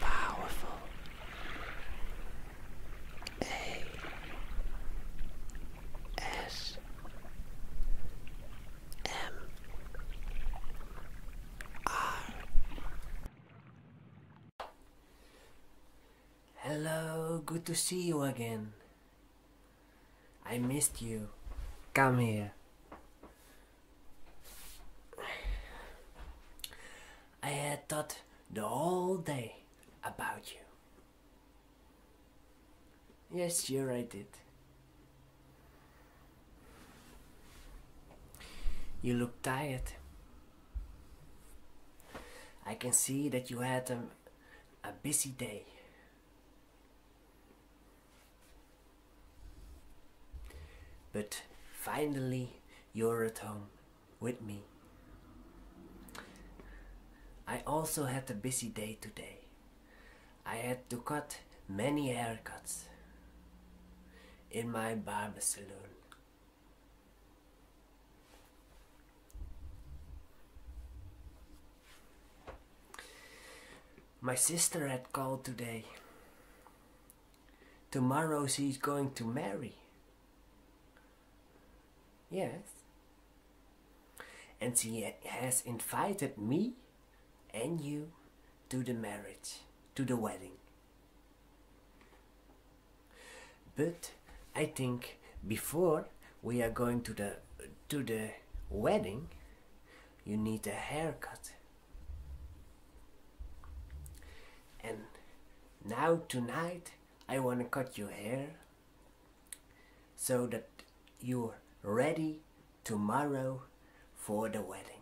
Powerful. A. S. M. R. Hello, good to see you again. I missed you. Come here. I had thought the whole day about you. Yes, sure I did. You look tired. I can see that you had a, a busy day. But finally, you're at home with me. I also had a busy day today. I had to cut many haircuts in my barber saloon. My sister had called today. Tomorrow she is going to marry. Yes. And she has invited me and you to the marriage, to the wedding. But I think before we are going to the to the wedding, you need a haircut. And now tonight I want to cut your hair so that you're ready tomorrow for the wedding.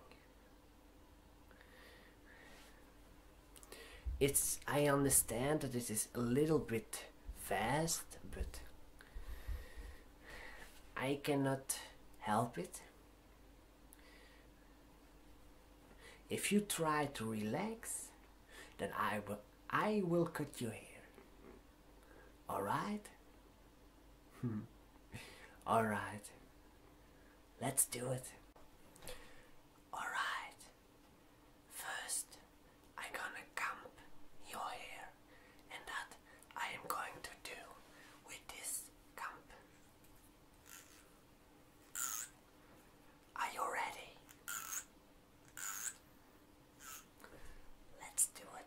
It's I understand that this is a little bit fast, but I cannot help it. If you try to relax, then I will, I will cut your hair. Alright? Hmm. Alright. Let's do it. Alright. First, I'm gonna camp your hair and that I am going to do with this camp. Are you ready? Let's do it.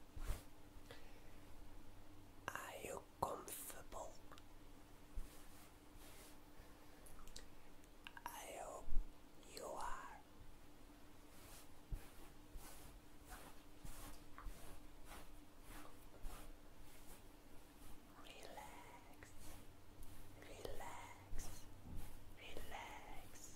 Are you comfortable? I hope you are. Relax, relax, relax.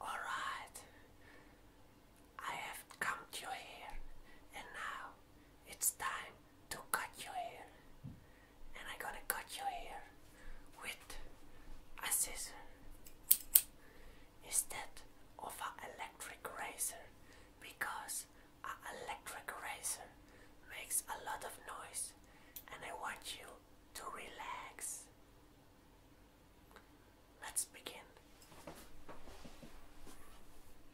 All right, I have come to you here and now it's time to cut your hair. And I'm gonna cut your hair with a scissors, instead of an electric razor because an electric razor makes a lot of noise and I want you to relax. Let's begin.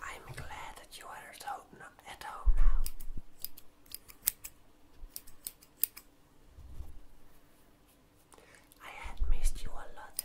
I'm glad that you are at home, at home now. I had missed you a lot.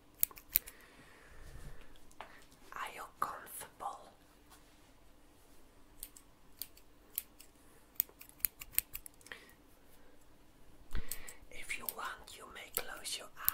Are you comfortable? If you want, you may close your eyes.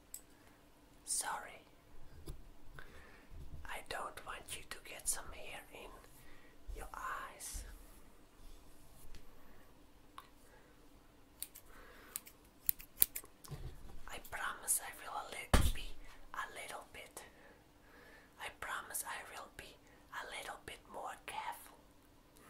Sorry. I don't want you to get some hair in your eyes. I promise I will be a little bit. I promise I will be a little bit more careful.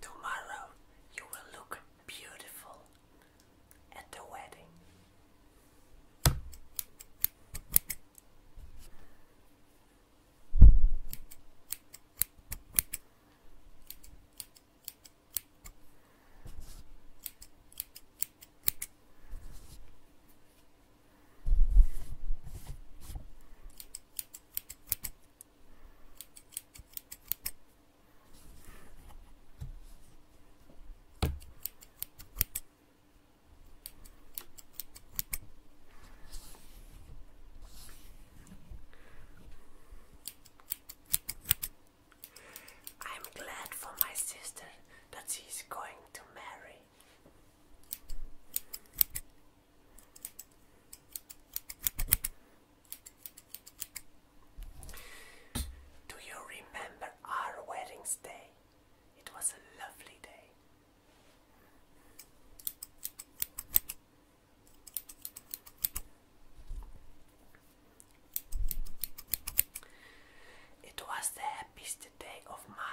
Tomorrow you will look beautiful at the wedding. I'm glad for my sister that she's going to marry. Do you remember our wedding's day? It was a lovely day. It was the be the day of my life.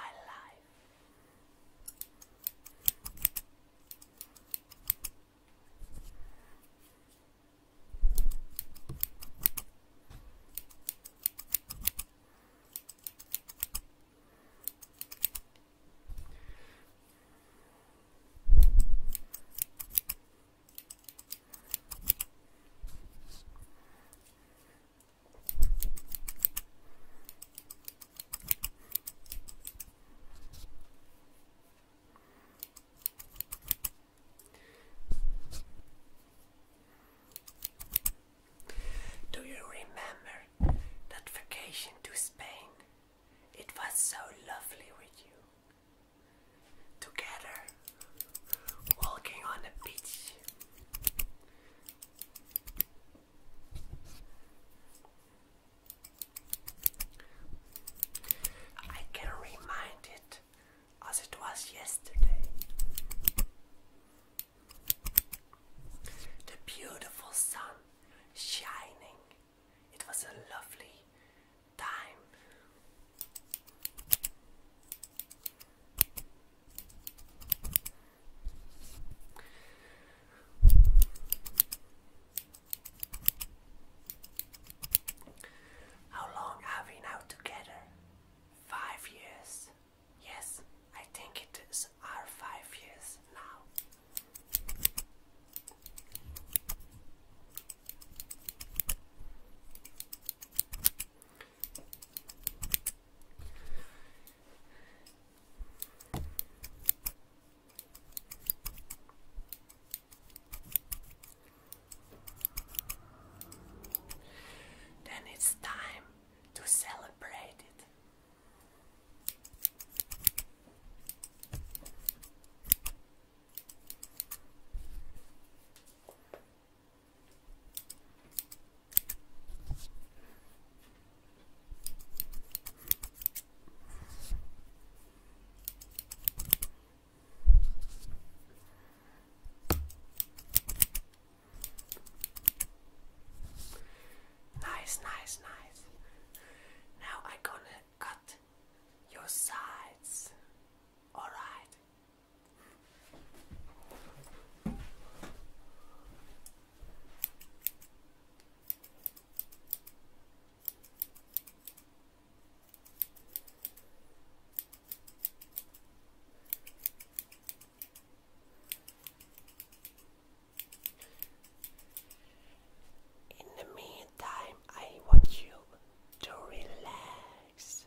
Do you remember that vacation to Spain? It was so lovely with you. Together walking on the beach. I can remind it as it was yesterday. The beautiful sun shining. It was a lovely time. How long are we now together? Five years. Yes, I think it is our five years now. Then it's time to celebrate it. Nice, nice, nice. Now I'm gonna cut your sides. Alright, in the meantime, I want you to relax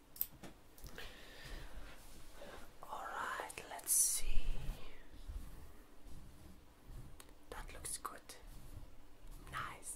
All right, let's see. That looks good. Nice.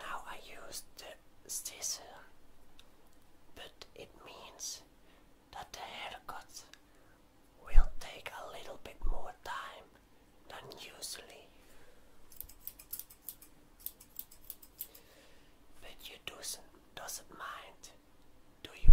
Now I use the scissor, but it means that the haircut will take a little bit more time than usually. But you doesn't doesn't mind, do you?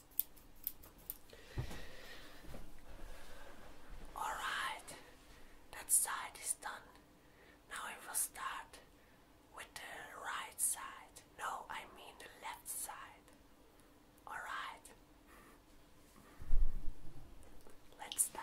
Alright, that side is done. Now we will start with the right side. No, I mean the left side. Alright, let's start.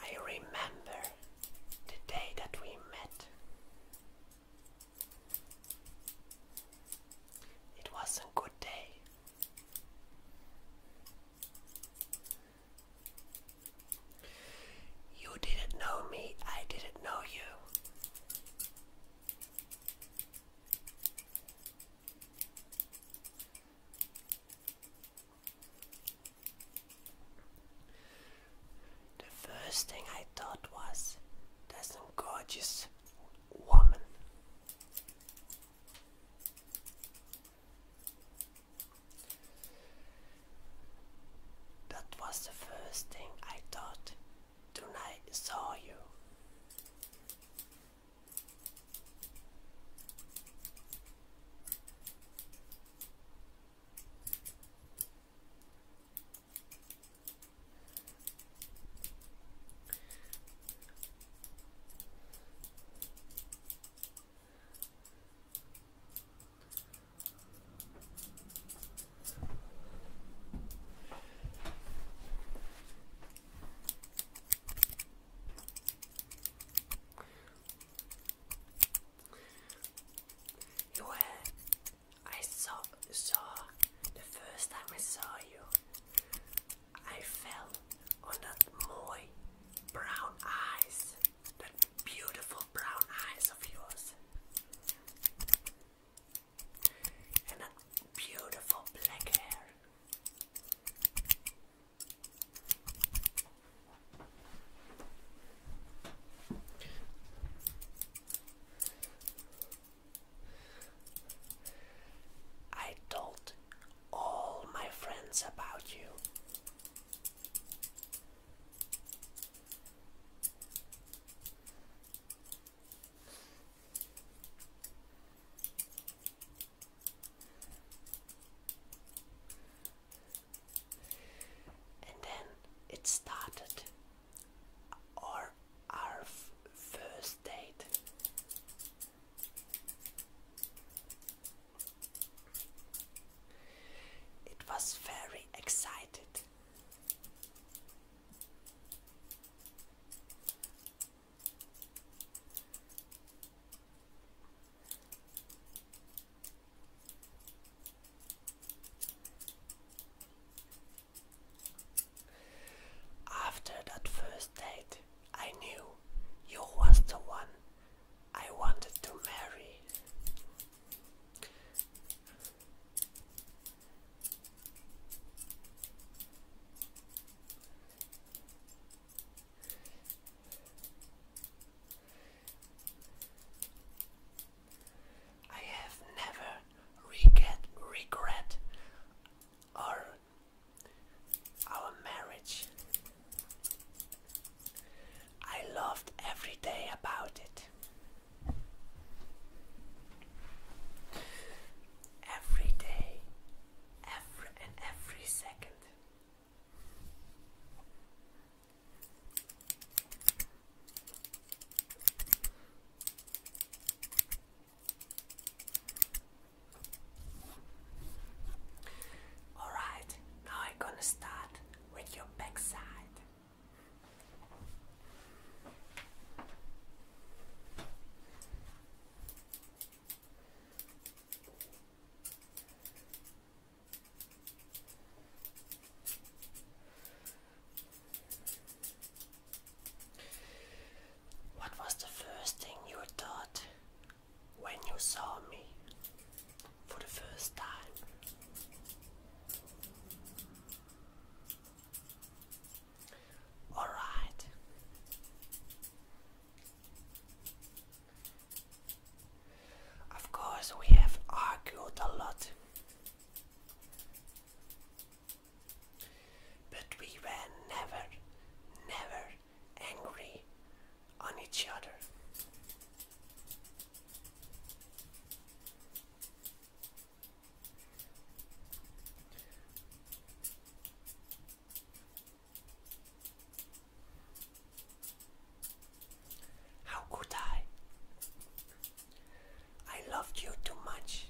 I remember the day that we met. It was a good day. You didn't know me, I didn't know you. The first thing I thought was, that's a gorgeous woman. That was the first thing I thought when I saw you. You I saw, saw the first time I saw you. I fell on that moy brown eyes. That beautiful brown eyes of yours. And that beautiful black hair. I told all my friends about you. And then it started our our first date. It was very excited. After that first date, I knew you was the one I wanted to marry. I have never regret regret our our marriage I loved every day about it. Every day, every and every second. All right, now I'm gonna start with your backside. What was the first thing you thought when you saw me for the first time. All right. Of course, we have argued a lot, but we were never, never angry on each other. How could I? I loved you too much.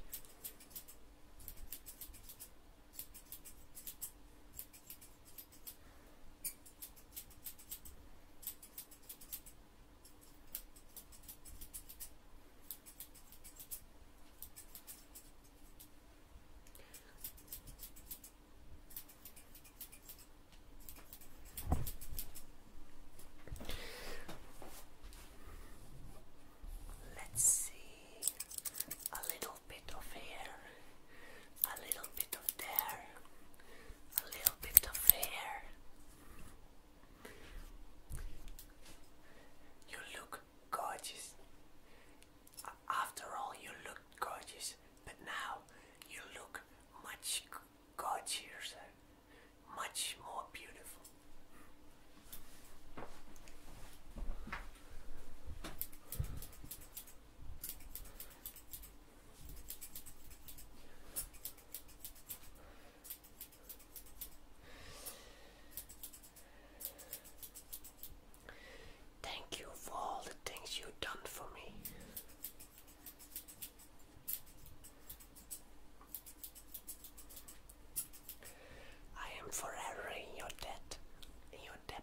Let's see a little little bit of here, a little bit of there, a little bit of here. You look gorgeous. After all, you look gorgeous, but now you look much gorgeous, uh, much more beautiful. Thank you for all the things you've done for me. I am forever in your debt, in your debt.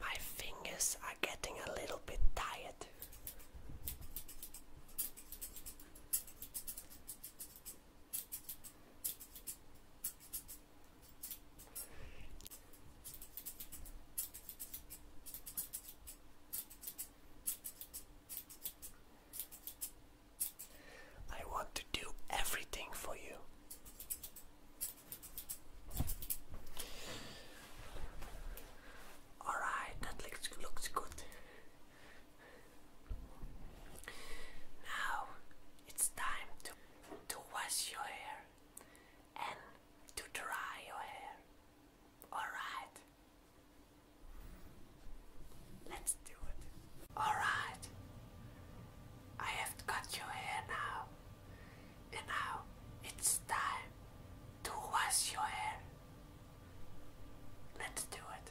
My fingers are getting a little bit tired. I want to do everything for you. Alright, that looks, looks good. Now it's time to, to wash your hair and to dry your hair. Alright. Let's do it. Alright. I have got you here now. And now it's time to wash your hair. Let's do it.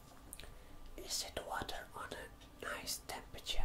Is it water on a nice temperature?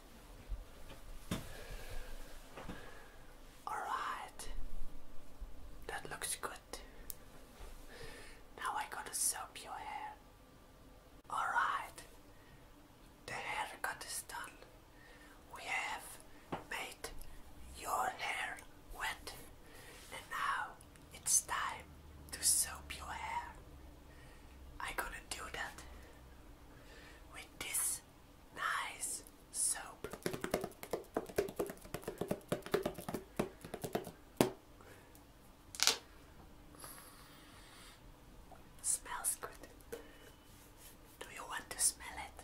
Alright, that looks good. Now I gotta soap your hair. Alright, the haircut is done. We have made your hair wet, and now it's time to soap your hair. i gonna do that this nice soap. Smells good. Do you want to smell it?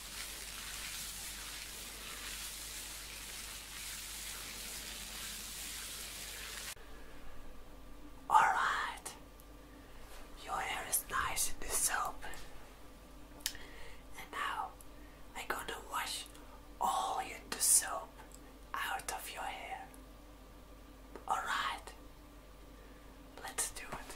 Alright, your hair is nice in the soap, and now I'm gonna wash all in the soap out of your hair. Alright, let's do it.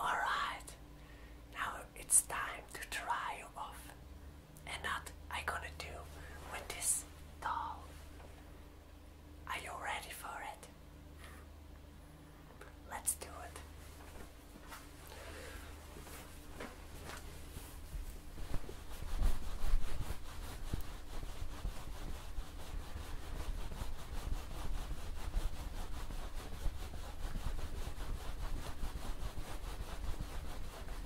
Alright, now it's time to try off and what I gonna do with this doll. Are you ready for it? Let's do it.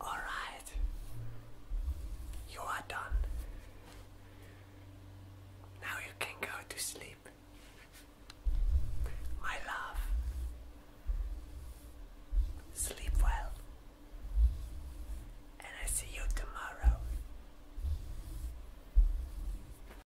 All right, you are done. Now you can go to sleep, my love. Sleep well, and I see you tomorrow.